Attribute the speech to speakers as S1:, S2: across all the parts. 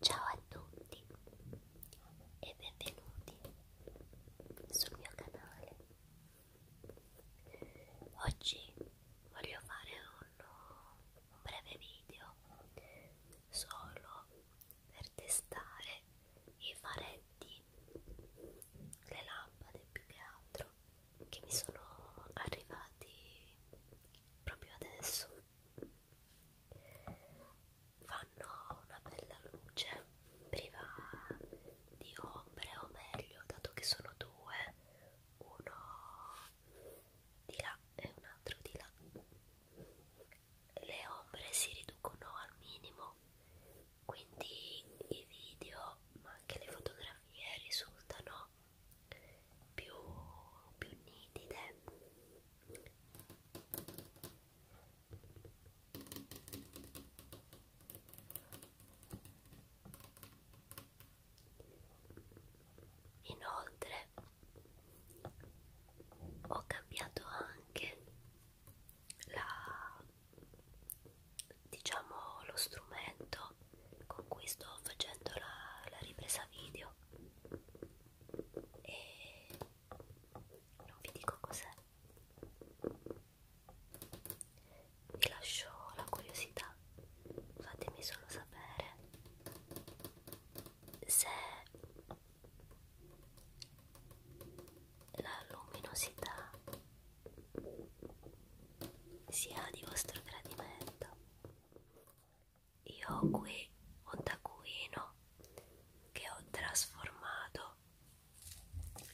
S1: Ciao a tutti e benvenuti sul mio canale. Oggi voglio fare un, un breve video solo per testare i faretti, le lampade più che altro che mi sono arrivati proprio adesso fanno una bella luce priva di ombre o meglio dato che sono due uno di là e un altro di là le ombre si riducono al minimo quindi i video ma anche le fotografie risultano più, più nitide Inoltre ho cambiato anche la, diciamo lo strumento con cui sto facendo la, la ripresa video e non vi dico cos'è vi lascio la curiosità fatemi solo sapere se la luminosità sia di vostro gradimento. Io ho qui un taccuino che ho trasformato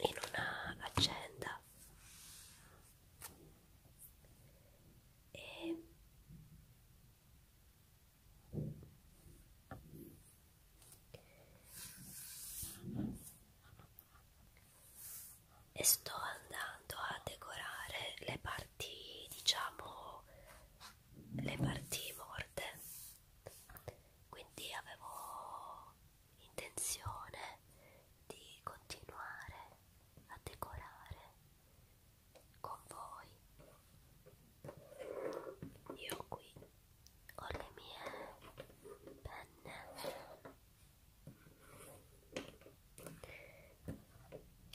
S1: in una agenda e e sto andando a decorare le parti diciamo le parti morte quindi avevo intenzione di continuare a decorare con voi io qui ho le mie penne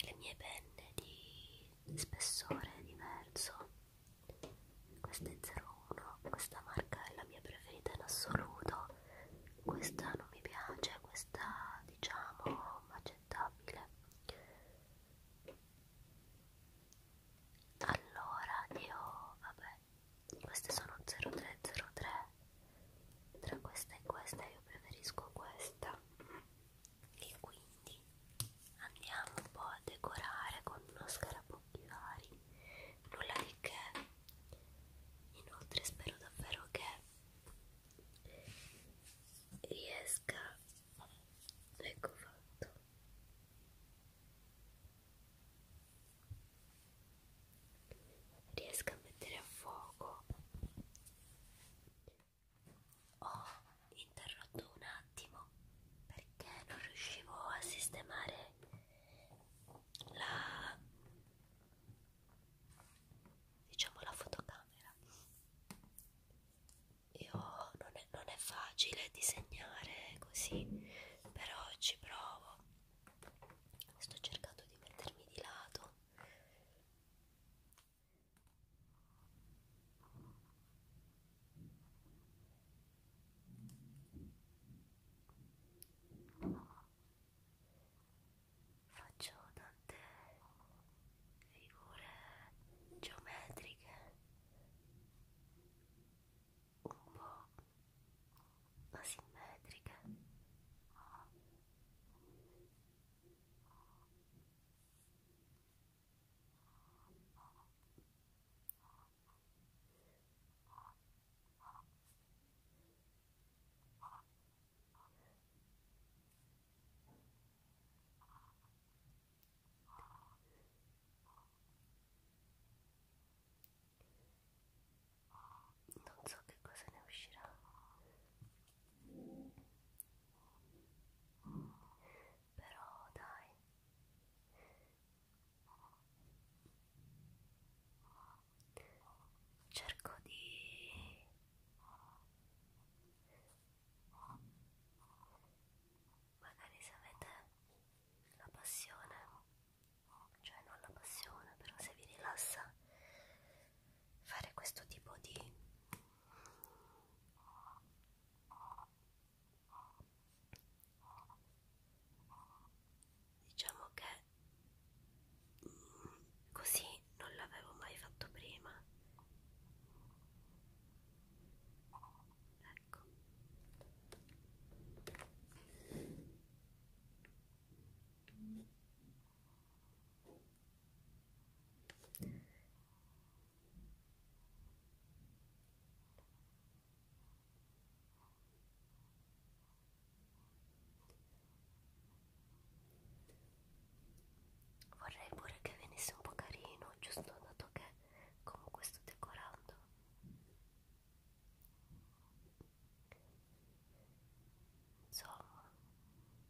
S1: le mie penne di spessore diverso questa è 01 questa marca è la mia preferita in assoluto questa non mi piace questa diciamo accettabile allora io vabbè queste sono 0303 tra questa e questa io preferisco questa e quindi andiamo un po' a decorare con uno scarabocchi vari nulla di che inoltre spero davvero che riesca ecco fatto riesco a mettere a fuoco ho interrotto un attimo perché non riuscivo a sistemare la diciamo la fotocamera io non è, non è facile disegnare così, però ci provo. Sto cercando di mettermi di lato. Faccio tante figure geometriche un po' asimmetriche non so che cosa ne uscirà però dai cerco di magari se avete la passione cioè non la passione però se vi rilassa fare questo tipo di diciamo che mm, così perché non l'avevo mai fatto prima ecco vorrei pure che venisse un po' carino giusto dato che comunque sto decorando insomma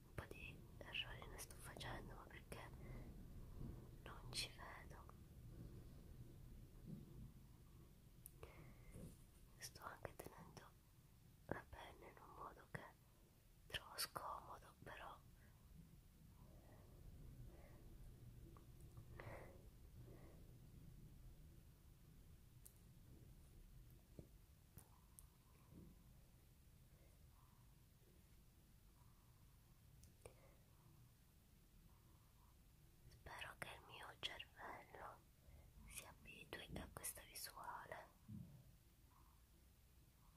S1: un po' di errori ne sto facendo ma perché non ci vedo sto anche tenendo la penna in un modo che trovo scomodo però Spero che il mio cervello si abitui a questa visuale. È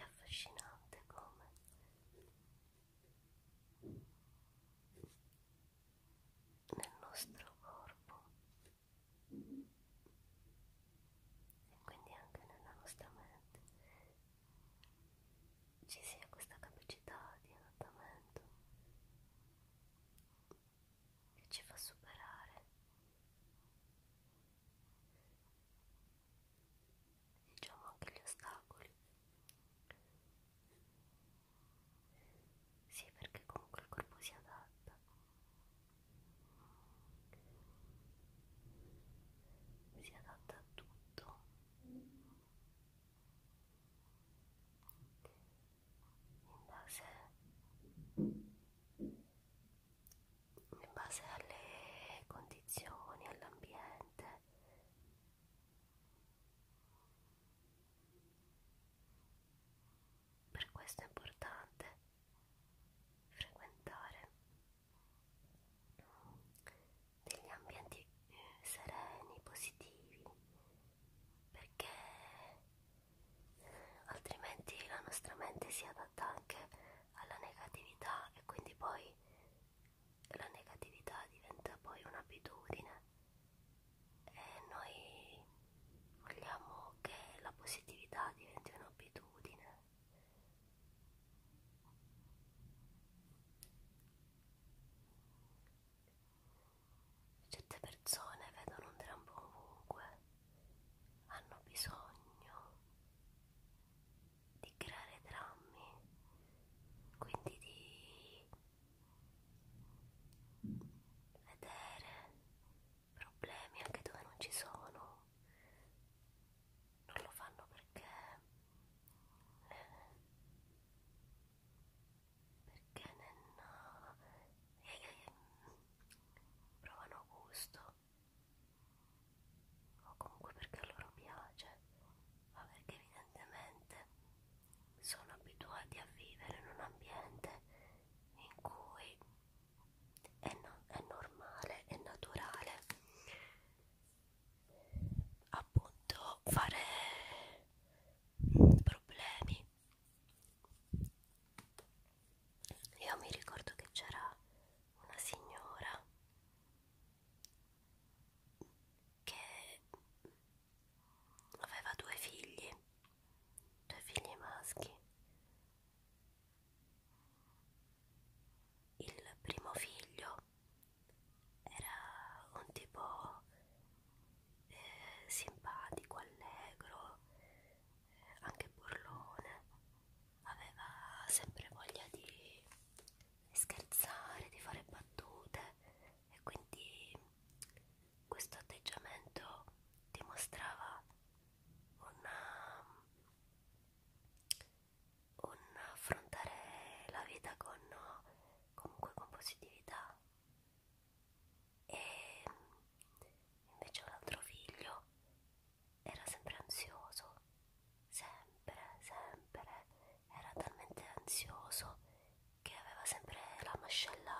S1: affascinante come nel nostro corpo e quindi anche nella nostra mente ci sia questa capacità di adattamento che ci fa superare diciamo anche gli ostacoli sì perché comunque il corpo si adatta si adatta a tutto in base, in base alle condizioni, all'ambiente per questo è importante frequentare degli ambienti eh, sereni, positivi, perché altrimenti la nostra mente si adatta anche alla negatività e quindi poi la negatività diventa poi un'abitudine e noi vogliamo che la positività diventi un'abitudine Certe persone vedono un trampo ovunque, hanno bisogno di creare drammi, quindi di vedere problemi anche dove non ci sono non lo fanno perché eh, perché non eh, eh, provano gusto o comunque perché a loro piace ma perché evidentemente sono abituati a vivere in un ambiente in cui è, no, è normale, è naturale appunto fare problemi io mi ricordo che c'era una signora che aveva due figli due figli maschi il primo figlio era un tipo eh, simpatico, allegro, eh, anche burlone, aveva sempre voglia di scherzare, di fare battute e quindi questo atteggiamento dimostrava una un affrontare la vita con comunque con positività e invece un altro figlio era sempre ansioso sempre sempre era talmente ansioso che aveva sempre la mascella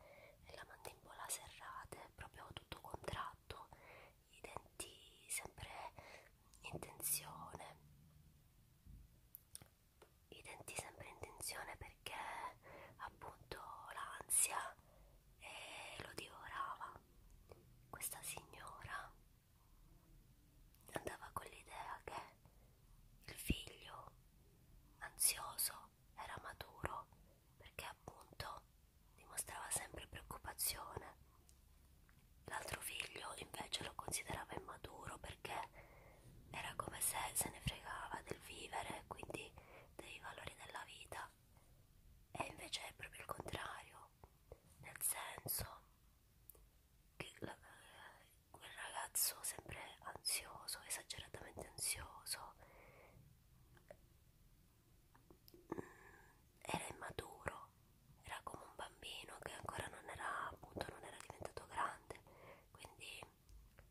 S1: e, e la mandibola serrate proprio tutto contratto i denti sempre in tensione i denti sempre in tensione perché appunto l'ansia eh, lo divorava questa signora andava con l'idea che il figlio ansioso era maturo perché appunto dimostrava sempre preoccupazione. L'altro figlio invece lo considerava immaturo perché era come se se ne fregava del vivere, quindi dei valori della vita. E invece è proprio il contrario, nel senso che la, quel ragazzo sempre ansioso, esageratamente ansioso, era immaturo, era come un bambino che ancora non era appunto non era diventato grande, quindi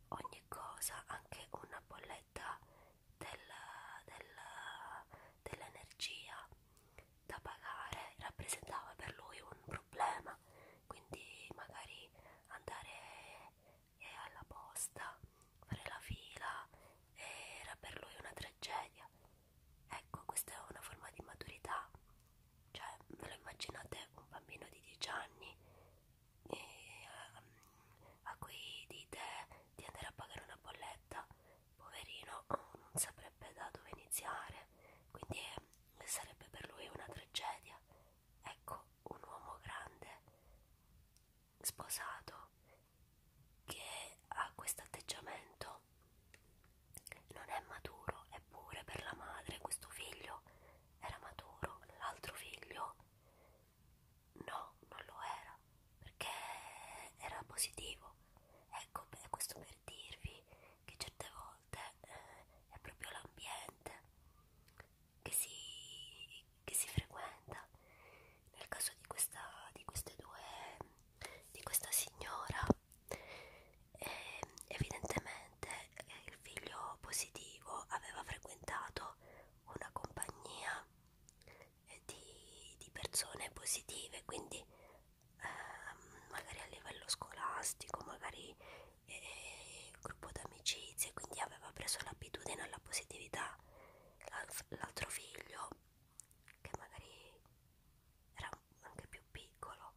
S1: ogni cosa, anche una bolletta del, del, dell'energia da pagare rappresentava per lui un problema, quindi magari andare eh, alla posta fare la fila era per lui una tragedia. Ecco, questa è una forma di maturità. Cioè, ve lo immaginate un bambino di 10 anni e, um, a cui dite di andare a pagare una bolletta? Poverino, non saprebbe da dove iniziare, quindi eh, sarebbe per lui una tragedia. Ecco, un uomo grande, sposato, che ha questo atteggiamento non è maturo, eppure per la madre questo figlio era maturo, l'altro figlio no, non lo era, perché era positivo. Ecco, beh, questo per dirvi che certe volte eh, è proprio l'ambiente che si che si frequenta nel caso di questa di queste due di questa signora e ehm, evidentemente eh, il figlio positivo aveva frequentato una compagnia eh, di, di persone positive quindi eh, magari a livello scolastico magari eh, eh, gruppo d'amicizie quindi aveva preso l'abitudine alla positività l'altro figlio che magari era anche più piccolo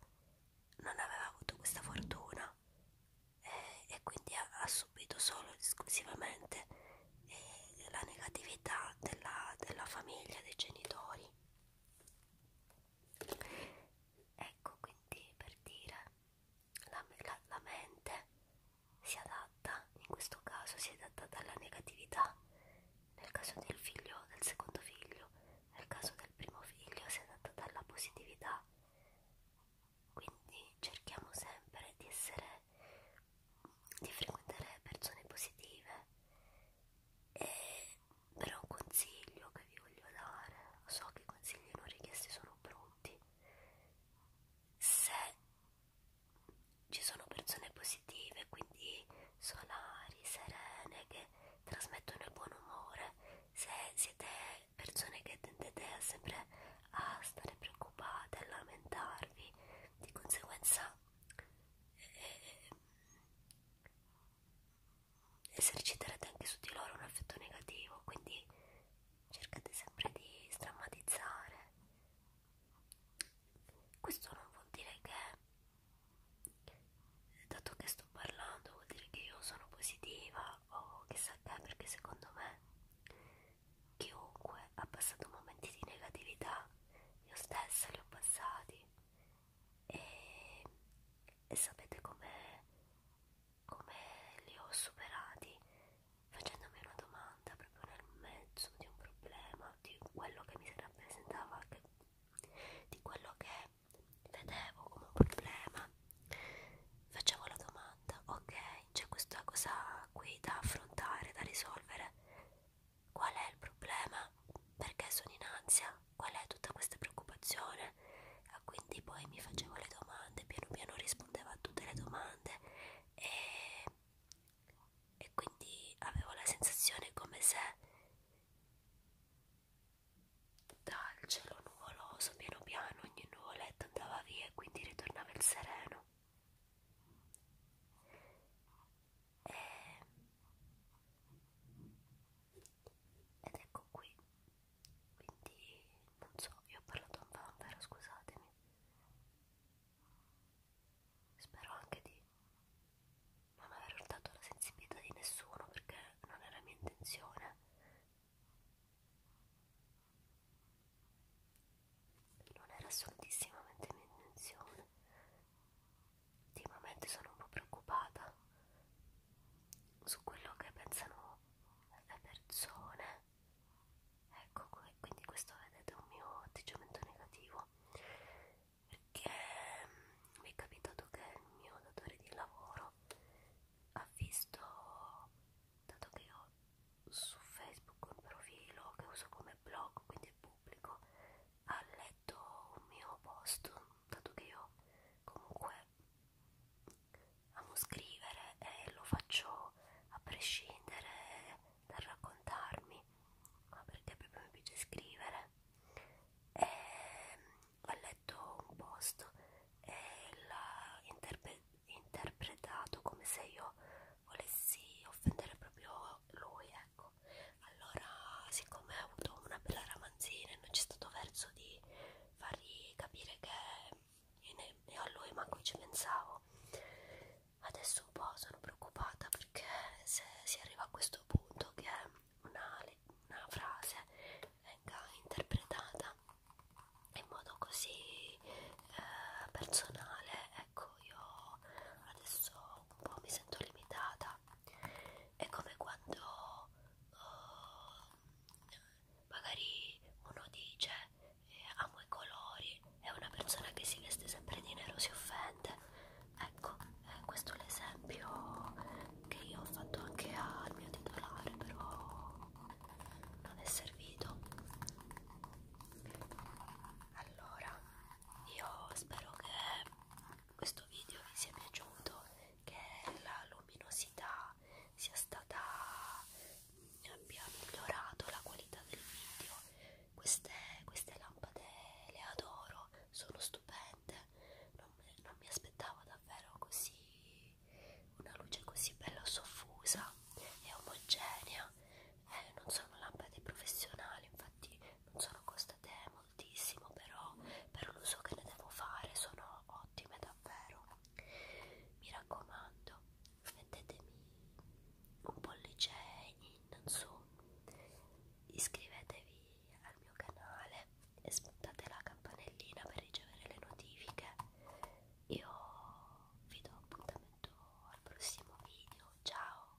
S1: non aveva avuto questa fortuna e, e quindi ha, ha subito solo ed esclusivamente eh, la negatività della, della famiglia, dei genitori ecco quindi per dire la, la, la mente si adatta, in questo caso si adatta dalla negatività, nel caso del figlio, del secondo figlio, nel caso del primo figlio si adatta dalla positività. Quindi cerchiamo sempre di essere, di frequentare persone positive. E però un consiglio che vi voglio dare, so che i consigli non richiesti sono brutti. Se ci sono persone positive, quindi solari, serene, che trasmettono il buon umore. Se siete persone che tendete sempre a stare preoccupate, a lamentarvi, di conseguenza eh, ehm, eserciterete anche su di loro un effetto negativo, quindi cercate sempre di strammatizzare. Questo non vuol dire che, dato che sto parlando, vuol dire che io sono positiva o chissà che, perché secondo me chiunque ha passato momenti di negatività, io stessa li ho passati e, e sapete come li ho superati facendomi una domanda proprio nel mezzo di un problema, di quello che mi si rappresentava, che, di quello che vedevo come un problema, facevo la domanda, ok, c'è questa cosa qui da affrontare, da risolvere, qual è il problema? Perché sono in ansia? Qual è tutta questa preoccupazione? E quindi poi mi facevo le domande, piano piano rispondevo a tutte le domande e, e quindi avevo la sensazione come se dal cielo nuvoloso piano piano ogni nuvoletta andava via e quindi ritornava il sereno e, ed ecco qui quindi non so, io ho parlato un vanvero, scusatemi spero anche di non aver urtato la sensibilità di nessuno perché non era mia intenzione non era assolutissimamente mia intenzione ultimamente sono un po' preoccupata su quello che pensano le persone ecco qui quindi questo vedete è un mio atteggiamento negativo perché ehm, mi è capitato che il mio datore di lavoro ha visto dato che io su Facebook un profilo che uso come blog quindi è pubblico ha letto un mio post dato che io comunque amo scrivere e lo faccio a prescindere dal raccontarmi, ma perché proprio mi piace scrivere. E mm, ho letto un post e l'ha interpre interpretato come se io volessi offendere proprio lui, ecco. Allora, siccome ho avuto una bella ramanzina e non c'è stato verso di fargli capire che e, ne, e a lui manco ci pensavo adesso un po' sono preoccupata perché se si arriva a questo punto che una, una frase venga interpretata in modo così eh, personale ecco io adesso un po' mi sento limitata è come quando uh, magari uno dice eh, amo i colori e una persona che si veste sempre di nero si offende ecco eh, questo è l'esempio che io ho fatto anche al mio titolare però non è servito allora io spero che questo video vi sia piaciuto che la luminosità sia stata abbia migliorato la qualità del video queste, queste lampade le adoro sono stupende non, non mi aspettavo davvero così una luce così bella soffusa e omogenea eh, non sono lampade professionali infatti non sono costate moltissimo però per l'uso che ne devo fare sono ottime davvero mi raccomando mettetemi un pollice in su iscrivetevi al mio canale e smettate la campanellina per ricevere le notifiche io vi do appuntamento al prossimo video ciao